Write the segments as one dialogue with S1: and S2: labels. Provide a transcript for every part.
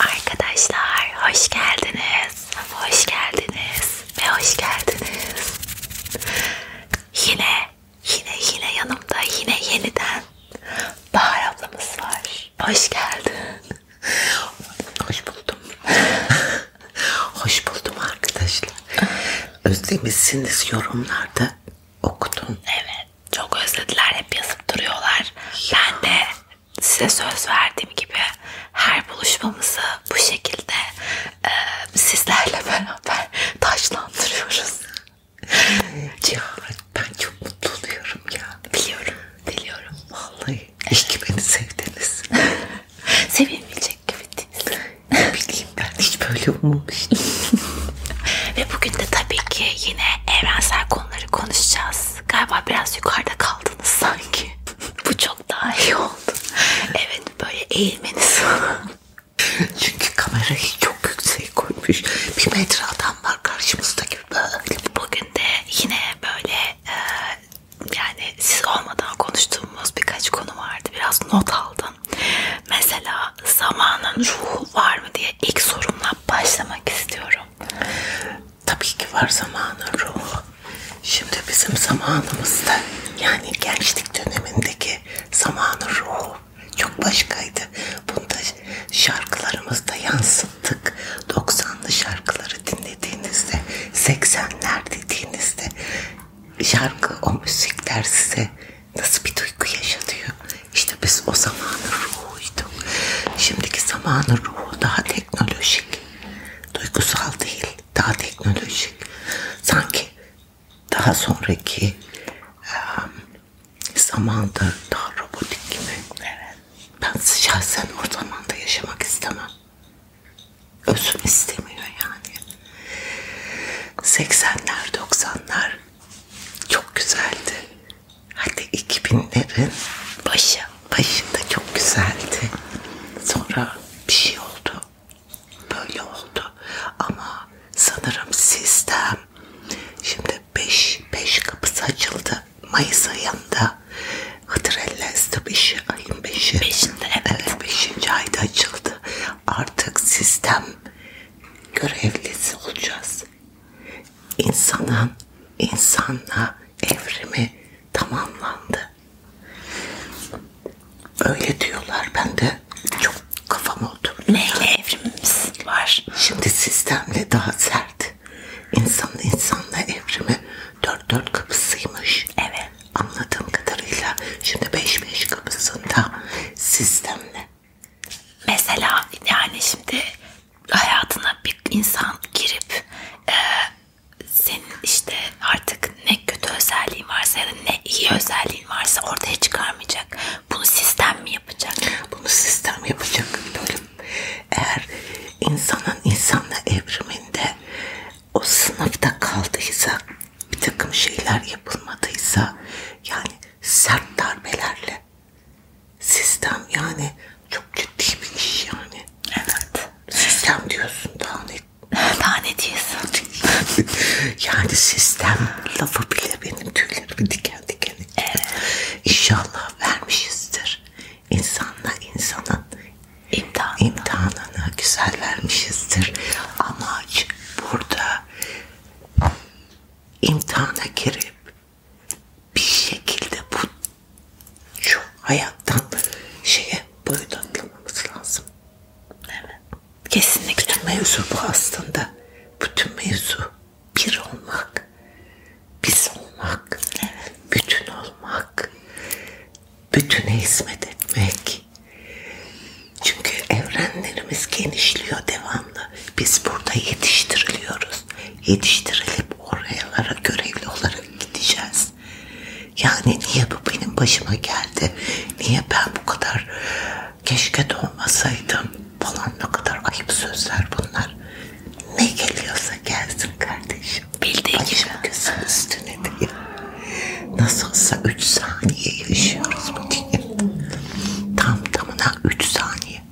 S1: Arkadaşlar hoş geldiniz. Hoş geldiniz ve hoş geldiniz. Yine yine yine yanımda yine yeniden Bahar ablamız var. Hoş geldin. Hoş buldum. hoş buldum arkadaşlar. Özlemişsiniz yorumlarda okudum. Evet çok özlediler hep yazıp duruyorlar. Ben de size söz verdiğim gibi her buluşmamızı bu şekilde e, sizlerle beraber taşlandırıyoruz. ya, ben çok mutlu oluyorum ya. Biliyorum, biliyorum. Vallahi iyi ki beni sevdiniz. Sevilmeyecek gibi değil. Bileyim ben hiç böyle olmamıştım. Ve bugün de tabii ki yine evrensel konuları konuşacağız. Galiba biraz yukarıda kaldınız sanki. Bu çok daha iyi oldu. Evet böyle eğilmeniz Çünkü kamerayı çok yüksek koymuş. Bir metre adam var karşımızdaki böyle. Bugün de yine böyle e, yani siz olmadan konuştuğumuz birkaç konu vardı. Biraz not aldım. Mesela zamanın ruhu var mı diye İlk sorumla başlamak istiyorum. Tabii ki var zamanın ruhu. Şimdi bizim zamanımızda yani gençlik dönemindeki zamanın ruhu çok başkaydı. Bunu da şarkılarımızda yansıttık. 90'lı şarkıları dinlediğinizde, 80'ler dediğinizde şarkı, o müzikler size nasıl bir duygu yaşatıyor. İşte biz o zamanın ruhuyduk. Şimdiki zamanın ruhu daha teknolojik. Duygusal değil, daha teknolojik. Sanki daha sonraki um, zamanda daha robotik gibi. Evet. Ben şahsen o zamanda yaşamak istemem. Özüm istemiyor yani. 80'ler, 90'lar çok güzeldi. Hadi 2000'lerin başı. Başında çok güzeldi. Sonra bir şey oldu. Böyle oldu. Ama sanırım sistem şimdi 5 5 kapısı açıldı. Mayıs ayında Hıdrellezdi 5 ayın 5'i. 5'inde evet. 5. Evet, ayda açıldı. Artık sistem görevlisi olacağız. İnsanın insanla evrimi tamamlandı. Öyle diyorlar. Ben de çok kafam oturdu. Neyle evrimimiz var? Şimdi sistemle daha sert. İnsanın insanla evrimi dört dört kapısıymış. Evet. Anladığım kadarıyla şimdi beş beş kapısında sistemle mesela yani şimdi hayatına bir insan girip e, senin işte artık ne kötü özelliğin varsa ya da ne iyi özelliğin varsa ortaya çıkarmayacak. Bunu sistem mi yapacak? Bunu sistem yapacak bölüm. Eğer insanın insanla evriminde o sınıfta kaldıysa bir takım şeyler yapılmadıysa yani sert darbelerle Sistem yani çok ciddi bir iş yani. Evet. Sistem diyorsun daha ne? daha ne diyorsun? yani sistem lafı bile benim tüylerimi diken diken. Evet. İnşallah vermişizdir. İnsanla insanın imtihanını, imtihanını güzel vermişizdir. Amaç burada imtihana girip bir şekilde bu şu hayattan şeye boyut atlamamız lazım. Evet. Kesinlikle. Bütün mevzu bu aslında. Bütün mevzu bir olmak, biz olmak, evet. bütün olmak, bütüne hizmet etmek, çünkü evrenlerimiz genişliyor devamlı. Biz burada yetiştiriliyoruz. Yetiştirilip oralara görevli olarak gideceğiz. Yani niye bu benim başıma geldi? Niye ben bu kadar keşke doğmasaydım falan ne kadar ayıp sözler bunlar. Ne geliyorsa gelsin kardeşim. Bildiğin gibi. gözün üstüne diyor. Nasıl olsa 3 saniye yaşıyoruz bu Tam tamına 3 saniye.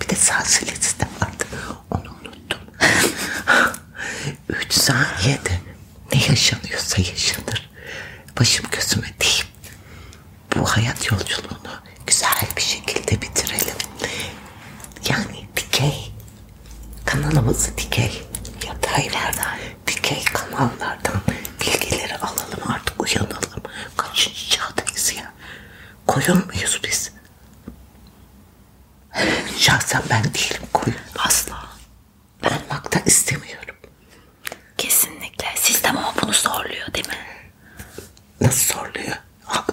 S1: Bir de salsilesi de vardı. Onu unuttum. 3 saniyede ne yaşanıyorsa yaşanır. Başım gözüme değil. Bu hayat yolculuğunu güzel bir şekilde bitirelim. Yani dikey kanalımızı dikey yataylardan, dikey kanallardan bilgileri alalım artık uyanalım. Kaçıncı çağdayız ya? Koyun muyuz biz? Şahsen ben değilim koyun. Asla. Olmak da istemiyorum. Kesinlikle. Sistem ama bunu zorluyor değil mi? Nasıl zorluyor? Ha,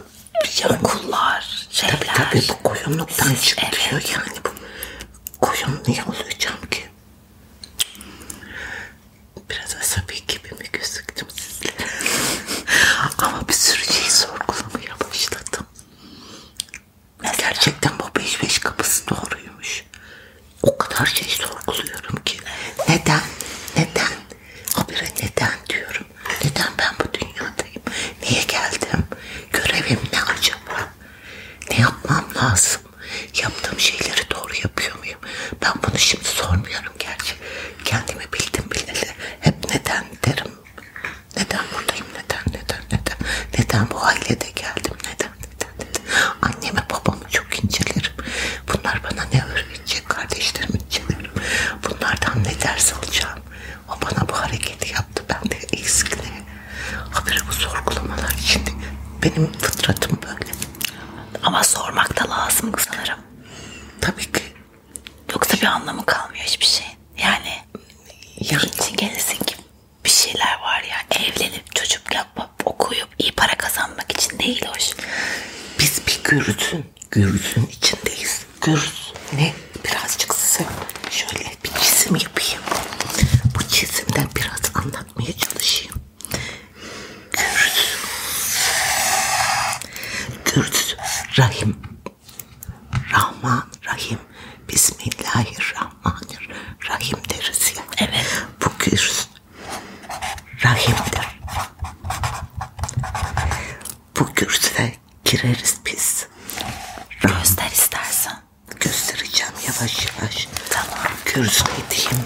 S1: Yani, Okullar, şeyler. tabii tabii bu koyunluktan Siz- çıkıyor yani bu. Koyun niye olacağım ki? Biraz asabi gibi mi gözüktüm sizlere? Ama bir sürü şey sorgulamaya başladım. Mesela? Gerçekten bu beş beş kapısı doğruymuş. O kadar şey sorguluyorum ki. Neden? Neden? Habire neden diyorum. Neden ben bu dünyadayım? Niye geldim? Görevim ne acaba? Ne yapmam lazım? lazım. Yaptığım şeyleri doğru yapıyor muyum? Ben bunu şimdi sormuyorum gerçi. Kendimi bildim bileli. Hep neden derim. Neden buradayım? Neden? Neden? Neden? Neden bu ailede geldim? Neden? Neden? neden? Annemi babamı çok incelerim. Bunlar bana ne öğretecek? Kardeşlerimi incelerim. Bunlardan ne ders alacağım? O bana bu hareketi yaptı. Ben de eksik ne? Habire bu sorgulamalar şimdi benim fıtratım böyle. Ama sormak da lazım sanırım. Tabii ki. Yoksa bir anlamı kalmıyor hiçbir şey. Yani yani. için gelirsin ki bir şeyler var ya. Evlenip çocuk yapıp okuyup iyi para kazanmak için değil hoş. Biz bir gürültün, gürültün içindeyiz. Gürültün ne? Birazcık size şöyle bir çizim yapayım. Bu çizimden biraz anlatmaya çalışayım. Kürt. Kürt. Rahim. Rahman. Rahim. Bismillahirrahmanirrahim deriz ya. Evet. Bu Kürt. Rahimdir. Bu Kürt'e gireriz biz. Göster istersen. Göstereceğim yavaş yavaş. Tamam. Kürt ne diyeyim?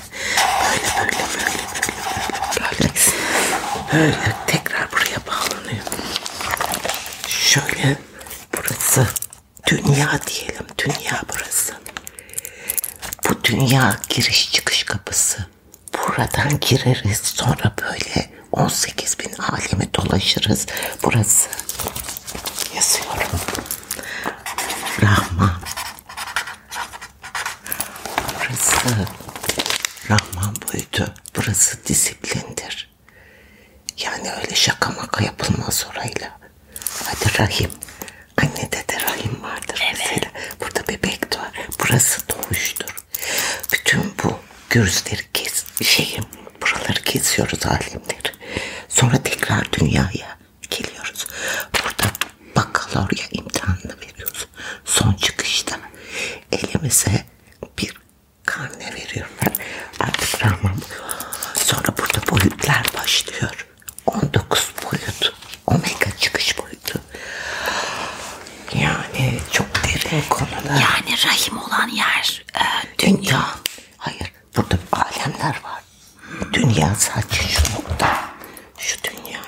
S1: Böyle böyle böyle böyle böyle. Böyle tekrar buraya bağlanıyor. Şöyle burası dünya diyelim. Dünya burası. Bu dünya giriş çıkış kapısı. Buradan gireriz sonra böyle 18 bin alemi dolaşırız. Burası yazıyorum. Rahman. Burası Rahman boyutu. Burası disiplindir. Yani öyle şaka maka yapılmaz orayla. Hadi Rahim. Annede de Rahim vardır evet. mesela. Burada bebek doğar. Burası doğuştur. Bütün bu gözleri kes, şeyim, buraları kesiyoruz alimleri. Sonra tekrar dünyaya geliyoruz. Burada bakalorya imtihanını veriyoruz. Son çıkışta elimize bir karne veriyorlar. Artık rahman. Sonra burada boyutlar başlıyor. 19 boyut. Omega çıkış boyutu. Yani çok derin konular. Yani rahim olan yer e, dünya. dünya. Hayır. Burada alemler var. Dünya sadece şu nokta. Şu dünya.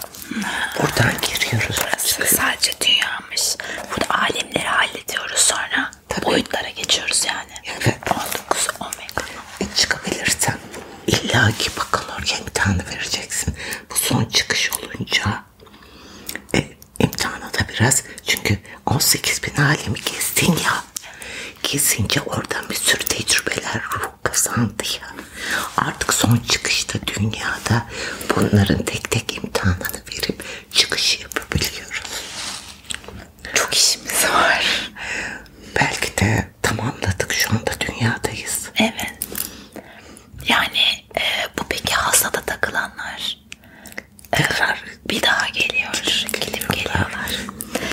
S1: Buradan giriyoruz. Burası sadece dünyamış. Burada alemleri hallediyoruz sonra. Tabii. Boyutlara geçiyoruz yani. Evet. 19 omega. E çıkabilirsen illa ki bakalorya imtihanı vereceksin. Bu son çıkış olunca e, imtihanı da biraz çünkü 18 bin alemi gezdin ya. Kesince oradan bir sürü tecrübeler, çok kazandı ya. Artık son çıkışta dünyada bunların tek tek imtihanını verip çıkış yapabiliyoruz. Çok işimiz var. Belki de tamamladık şu anda dünyadayız. Evet. Yani e, bu peki hasada takılanlar tekrar e, bir daha geliyor. Gidip geliyorlar.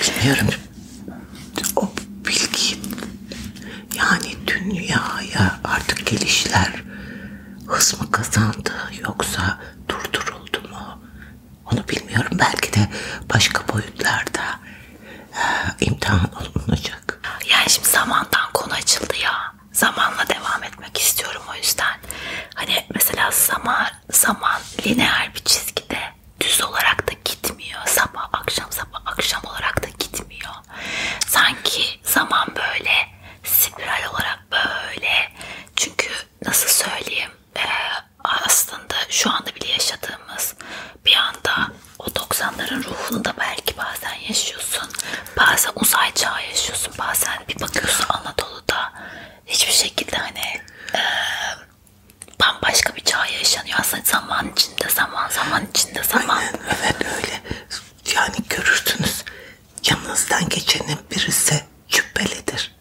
S1: geliyorlar. Bilmiyorum. O bilgi yani dünyaya artık gelişler hız mı kazandı yoksa durduruldu mu? Onu bilmiyorum. Belki de başka boyutlarda e, imtihan olunacak. Yani şimdi zamandan konu açıldı ya. Zamanla devam etmek istiyorum o yüzden. Hani mesela zaman zaman lineer bir çizgide düz olarak da gitmiyor. Sabah akşam sabah akşam olarak da gitmiyor. Sanki zaman böyle spiral olarak böyle. Çünkü nasıl söyleyeyim e, aslında şu anda bile yaşadığımız bir anda o 90'ların ruhunu da belki bazen yaşıyorsun. Bazen uzay çağı yaşıyorsun. Bazen bir bakıyorsun Anadolu'da hiçbir şekilde hani e, bambaşka bir çağ yaşanıyor aslında zaman içinde zaman zaman içinde zaman. Aynen, evet öyle. Yani görürsünüz yanınızdan geçenin birisi cübbelidir.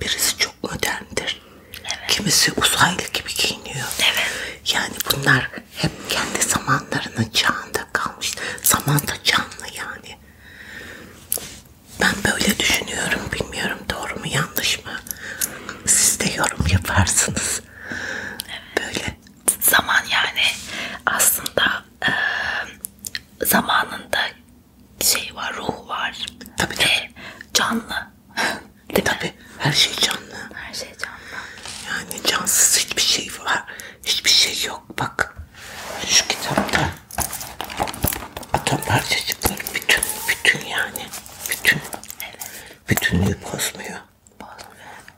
S1: Birisi çok moderndir. Evet. Kimisi uzaylı gibi giyiniyor. Evet. Yani bunlar hep kendi zamanlarının çağında kalmış. Zaman da canlı yani. Ben böyle düşünüyorum. Bilmiyorum doğru mu yanlış mı? Siz de yorum yaparsınız olmaz. Evet. Böyle zaman yani aslında e, zamanında şey var, ruh var. Tabii ve tabii. canlı. Değil tabii. Mi? Her şey canlı. Her şey canlı. Yani cansız hiçbir şey var. Hiçbir şey yok. Bak şu kitapta atom parçacıkları bütün bütün yani bütün evet bütünlüğü bozmuyor.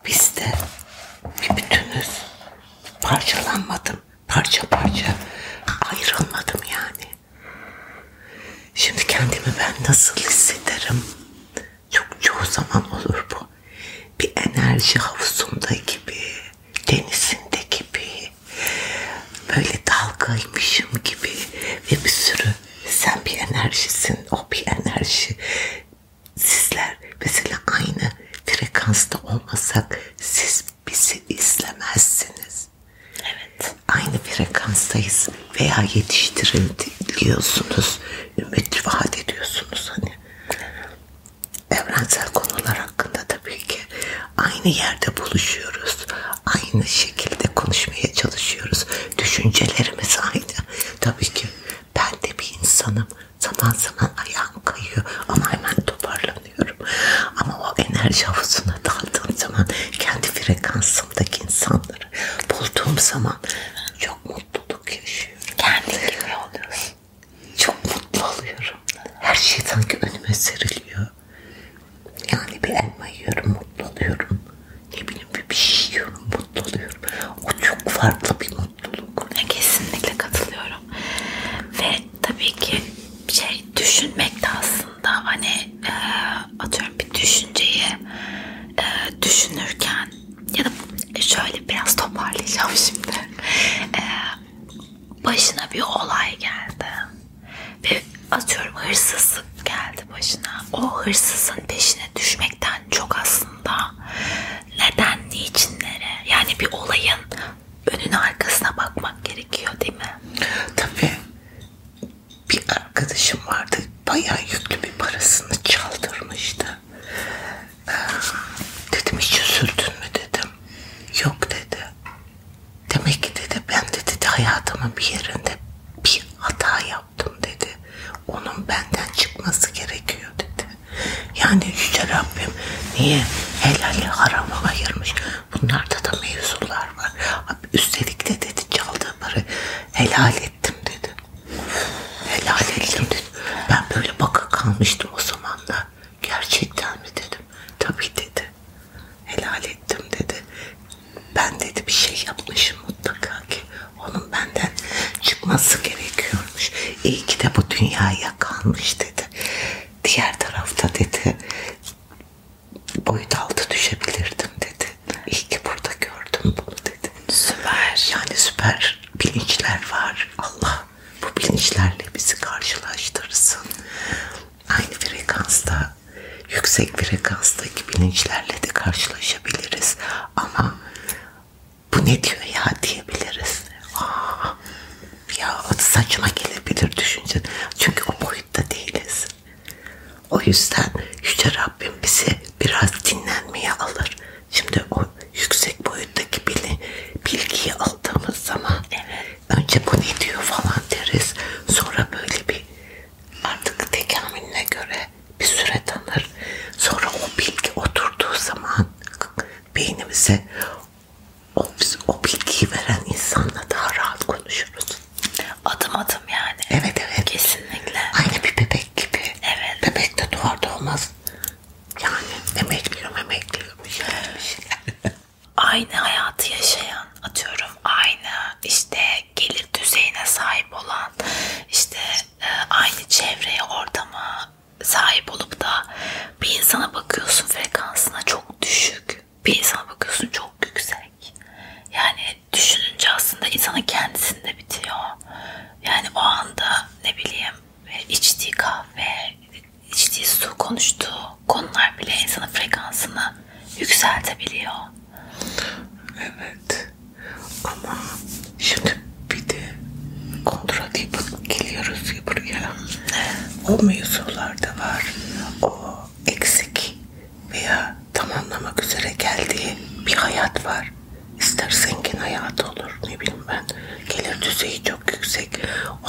S1: Biz de bir bütünüz. Parçalanmadım. Parça parça ayrılmadım yani. Şimdi kendimi ben nasıl hissederim? Çok çoğu zaman olur bu. Bir enerji havuzunda gibi, denizinde gibi, böyle dalgaymışım gibi ve bir sürü sen bir enerjisin, o bir enerji. Sizler mesela aynı frekansta olmasak siz bizi izlemezsiniz. Evet. Aynı frekanstayız veya yetiştiriliyorsunuz. Ümit vaat ediyorsunuz hani. Evrensel konular hakkında tabii ki aynı yerde buluşuyoruz aynı şekilde konuşmaya çalışıyoruz. Düşüncelerimiz aynı. Tabii ki ben de bir insanım. Zaman zaman ayağım kayıyor ama hemen toparlanıyorum. Ama o enerji havuzuna daldığım zaman kendi frekansımdaki insanları bulduğum zaman çok mutluluk yaşıyorum. Kendi gibi oluyorsun. Çok mutlu oluyorum. Her şey sanki önüme seriliyor. Yani bir elma yiyorum mutlu oluyorum. Ne bileyim bir, bir şey yiyorum mutlu oluyorum. O çok farklı bir mutluluk. Kesinlikle katılıyorum. Ve tabii ki şey düşünmek de aslında hani e, atıyorum bir düşünceyi e, düşünürken ya da şöyle biraz toparlayacağım şimdi. E, başına bir olay geldi ve atıyorum hırsızlık geldi başına. O hırsızın peşine düşmekten çok aslında neden, niçinlere yani bir olayın önüne arkasına bakmak gerekiyor değil mi? Tabii. Bir arkadaşım vardı. Bayağı yüklü bir parasını çaldırmıştı. Ee, dedim hiç üzüldün mü dedim. Yok dedi. Demek ki dedi ben dedi hayatımın bir yerinde bir hata yaptım yaptım dedi. Onun benden çıkması gerekiyor dedi. Yani Yüce Rabbim niye helali harama ayırmış? Bunlarda da mevzular var. Üstelik de dedi çaldığı parayı helal ettim dedi. Helal ettim dedi. Ben böyle baka kalmıştım o zamanlar. Gerçekten mi dedim. Tabii dedi helal ettim dedi. Ben dedi bir şey yapmışım mutlaka ki onun benden çıkması gerekiyormuş. İyi ki de bu dünyaya kalmış dedi. Diğer tarafta dedi boyut altı düşebilirdim dedi. İyi ki burada gördüm bunu dedi. Süper. Yani süper bilinçler var. Allah bu bilinçlerle bizi karşılaştırsın. Aynı frekansta yüksek frekanstaki bilinçlerle de karşılaşabiliriz. Ama bu ne diyor ya diyebiliriz. Aa, ah, ya saçma gelebilir düşünce. Çünkü o boyutta değiliz. O yüzden Yüce Rabbim bizi biraz dinlenmeye alır. Şimdi o yüksek boyuttaki bilin, bilgiyi aldığımız zaman evet. önce bu ne diyor falan deriz. Sonra böyle bir artık tekamülüne göre bir süre tanır. Sonra o bilgi oturduğu zaman beynimize o, o bilgiyi veren insanla daha rahat konuşuruz. Adım adım yani. Evet evet. Kesinlikle. Aynı bir bebek gibi. Evet. Bebek de doğar doğmaz. Yani emekliyorum emekliyorum. Şey şey aynı hayatı yaşayan atıyorum aynı işte yüksek gelir düzeyine sahip olan işte e, aynı çevreye ortama sahip olup da bir insana bakıyorsun frekansına çok düşük bir insana bakıyorsun çok yüksek yani düşününce aslında insanın kendisinde bitiyor yani o anda ne bileyim e, içtiği kahve içtiği su konuştuğu konular bile insanın frekansını yükseltebiliyor Evet. Ama şimdi bir de kontrat yapıp geliyoruz ya buraya. O mevzular da var. O eksik veya tamamlamak üzere geldiği bir hayat var. İster zengin hayatı olur ne bileyim ben. Gelir düzeyi çok yüksek.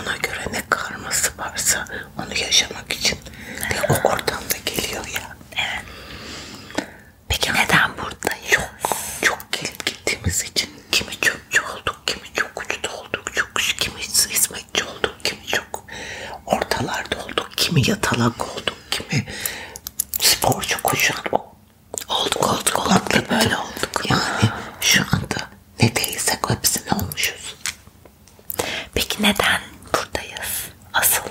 S1: Ona göre ne karması varsa onu yaşamak için de o oradan da geliyor ya. Evet. Peki neden buradayız? Çok çok gelip gittiğimiz için kimi çöpçü olduk, kimi çok uçta olduk, çok kimi hizmetçi olduk, kimi çok ortalarda olduk, kimi yatalak olduk, kimi sporcu koşan olduk olduk olduk böyle olduk. Yani şu anda ne değilsek hepsine olmuşuz. Peki neden buradayız? Asıl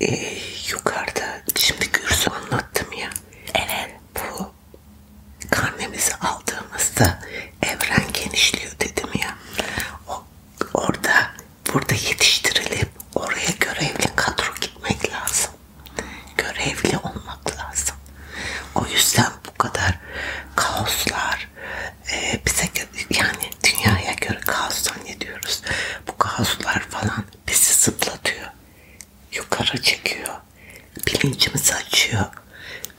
S1: ee, yukarıda şimdi Gürsü anlattım ya. Evet. Bu karnemizi aldığımızda evren genişliyor dedim ya. O, orada burada yetiştirilip oraya görevli kadro gitmek lazım. Görevli olmak lazım. O yüzden bu kadar kaoslar var. Ee, bize yani dünyaya göre kaos zannediyoruz. Bu kaoslar falan bizi zıplatıyor. Yukarı çekiyor. Bilincimizi açıyor.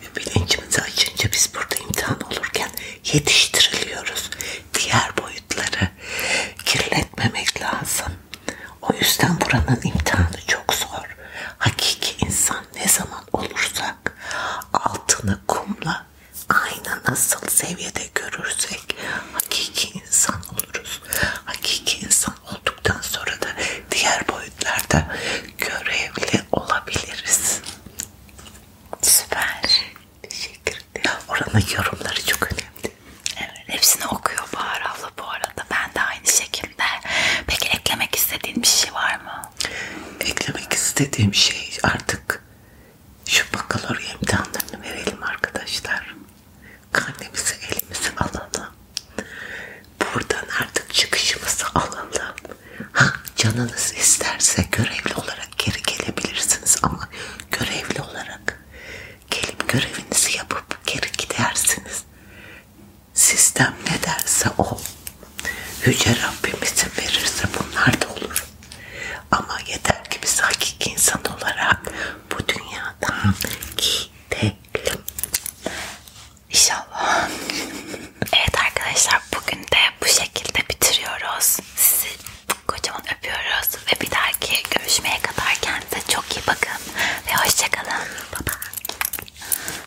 S1: Ve bilincimizi açınca biz burada imtihan olurken yetiştiriliyoruz. Diğer boyutları kirletmemek lazım. O yüzden buranın imtihanı çok zor. Hakiki insan ne zaman olursa olarak altını kumla aynı nasıl seviyede görürsek hakiki insan oluruz. Hakiki insan olduktan sonra da diğer boyutlarda görevli olabiliriz. Süper. Teşekkür ederim. Oranın yorumları çok önemli. Evet, hepsini okuyor Bahar abla bu arada. Ben de aynı şekilde. Peki eklemek istediğin bir şey var mı? Eklemek istediğim şey artık şu bakalorya imtihanlarını verelim arkadaşlar. Karnemizi elimizi alalım. Buradan artık çıkışımızı alalım. Ha, canınız isterse görevli olarak geri gelebilirsiniz ama görevli olarak gelip görevinizi yapıp geri gidersiniz. Sistem ne derse o. Yüce Rabbimizin verirse bunlar da olur. Ama yeter ki biz hakiki insan olarak bu dünyadan gidelim. İnşallah. evet arkadaşlar bugün de bu şekilde bitiriyoruz. Sizi kocaman öpüyoruz ve bir dahaki görüşmeye kadar kendinize çok iyi bakın ve hoşçakalın. Bye bye.